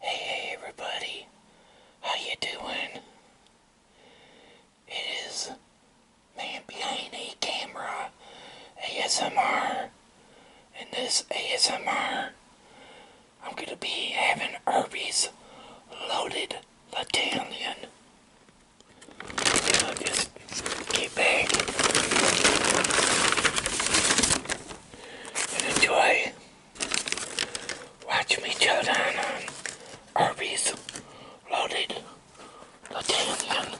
Hey, everybody, how you doing? It is man behind a camera ASMR, and this ASMR I'm gonna be having Herbie's loaded battalion. So just get back and enjoy watching me chow down on Arby's Loaded Latanian.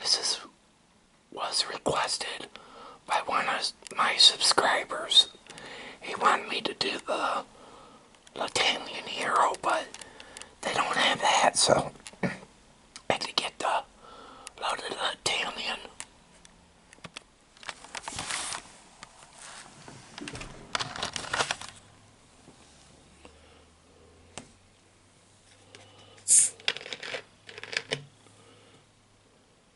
This is was requested by one of my subscribers. He wanted me to do the Latanian Hero, but they don't have that, so I had to get the loaded Latanian.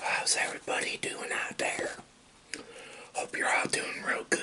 How's everybody doing out there? Hope you're all doing real good.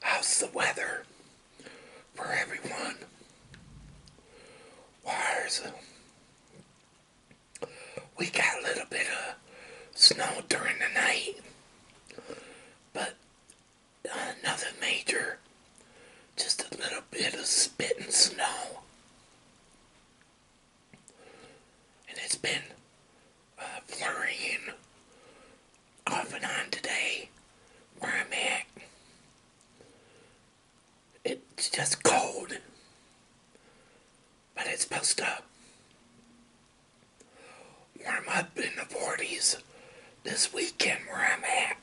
How's the weather for everyone? Wires. We got a little bit of snow during the night, but nothing major. Just a little bit of spitting snow. And it's been uh, flurrying off and on today where I'm at. It's just cold. But it's supposed to warm up in the 40s this weekend where I'm at.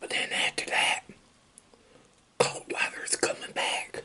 But then after that, cold weather's coming back.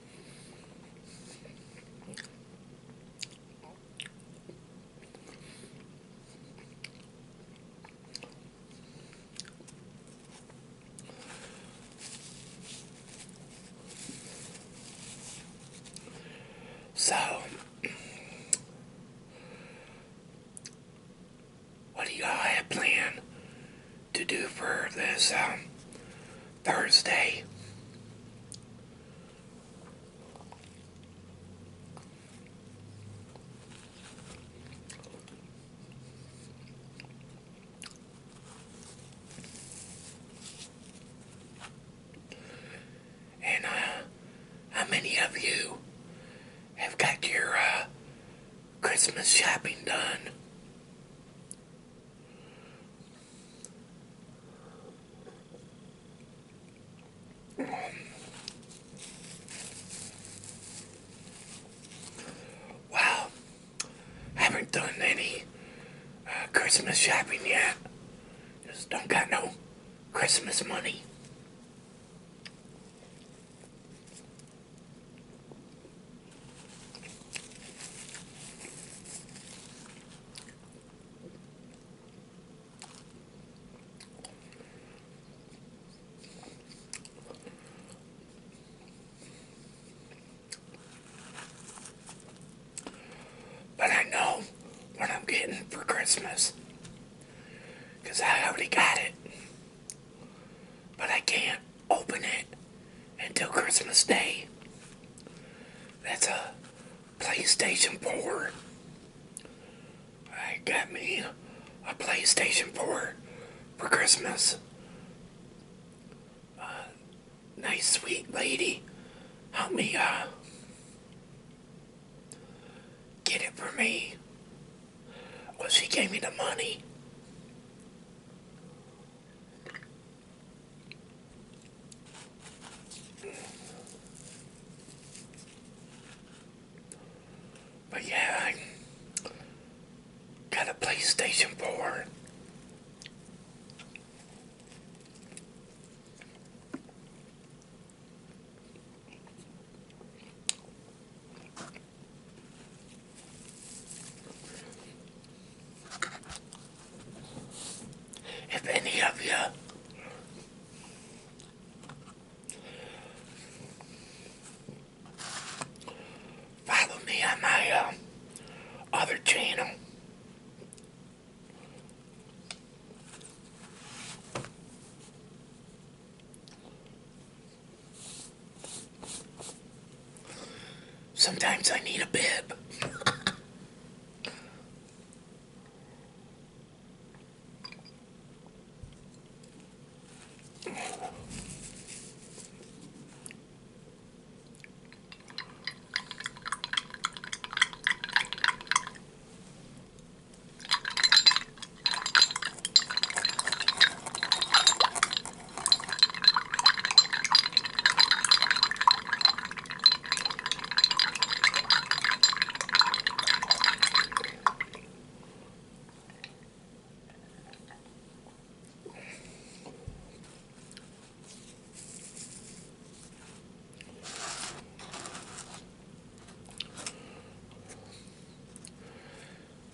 So, what do y'all have planned to do for this um, Thursday. And uh, how many of you have got your uh, Christmas shopping done? Wow, haven't done any uh, Christmas shopping yet. Just don't got no Christmas money. But I know what I'm getting for Christmas. Because I already got it. But I can't open it until Christmas Day. That's a PlayStation port. I got me a PlayStation port for Christmas. Uh, nice, sweet lady help me uh, get it for me. Well, she gave me the money. But yeah, I got a PlayStation 4. If any of you follow me on my um, other channel, Sometimes I need a bib.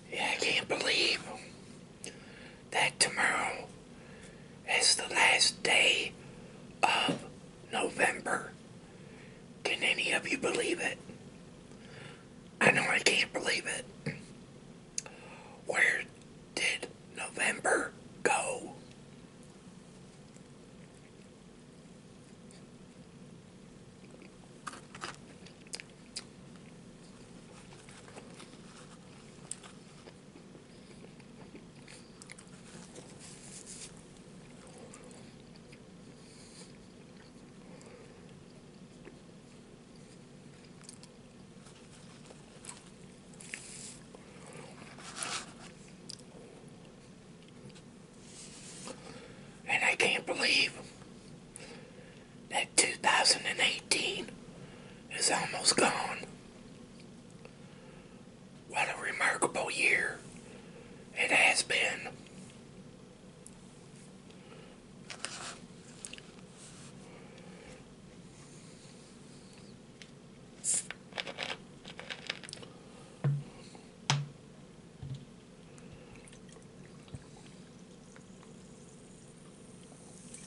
Yeah, I can't believe that tomorrow it's the last day of November. Can any of you believe it? I know I can't believe it. Where did November go? And I can't believe that 2018 is almost gone. What a remarkable year it has been.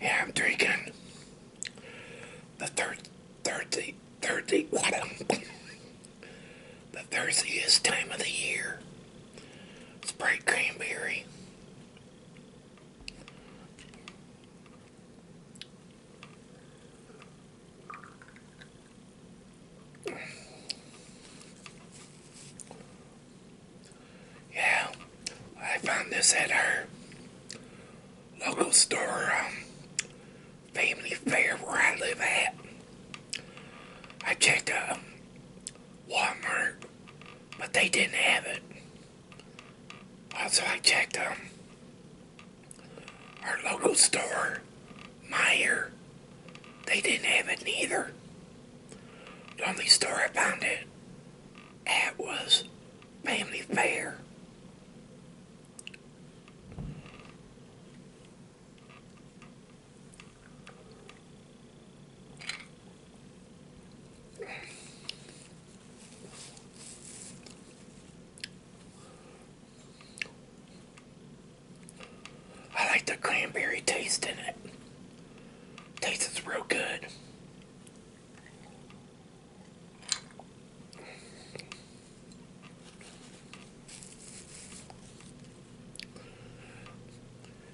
Yeah, I'm drinking the third, third, third, water the thirtieth time of the year. bright cranberry. Yeah, I found this at our local store um, family fair where I live at. I checked uh, Walmart, but they didn't have it. Also, I checked um, our local store, Meyer. They didn't have it neither. The only store I found it at was Family Fair. I like the cranberry taste in it. Tastes real good.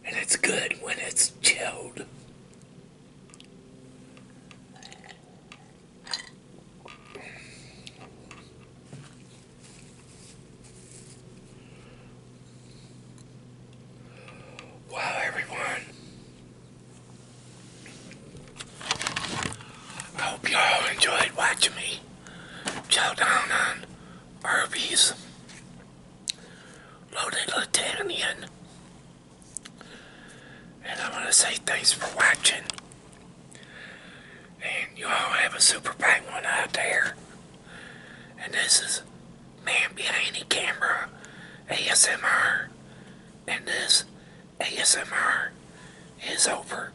And it's good when it's chilled. Wow, everyone. I hope y'all enjoyed watching me chow down on Arby's, Loaded Latanian. And I want to say thanks for watching. And you all have a super bang one out there. And this is Man Behind the Camera ASMR. And this ASMR is over.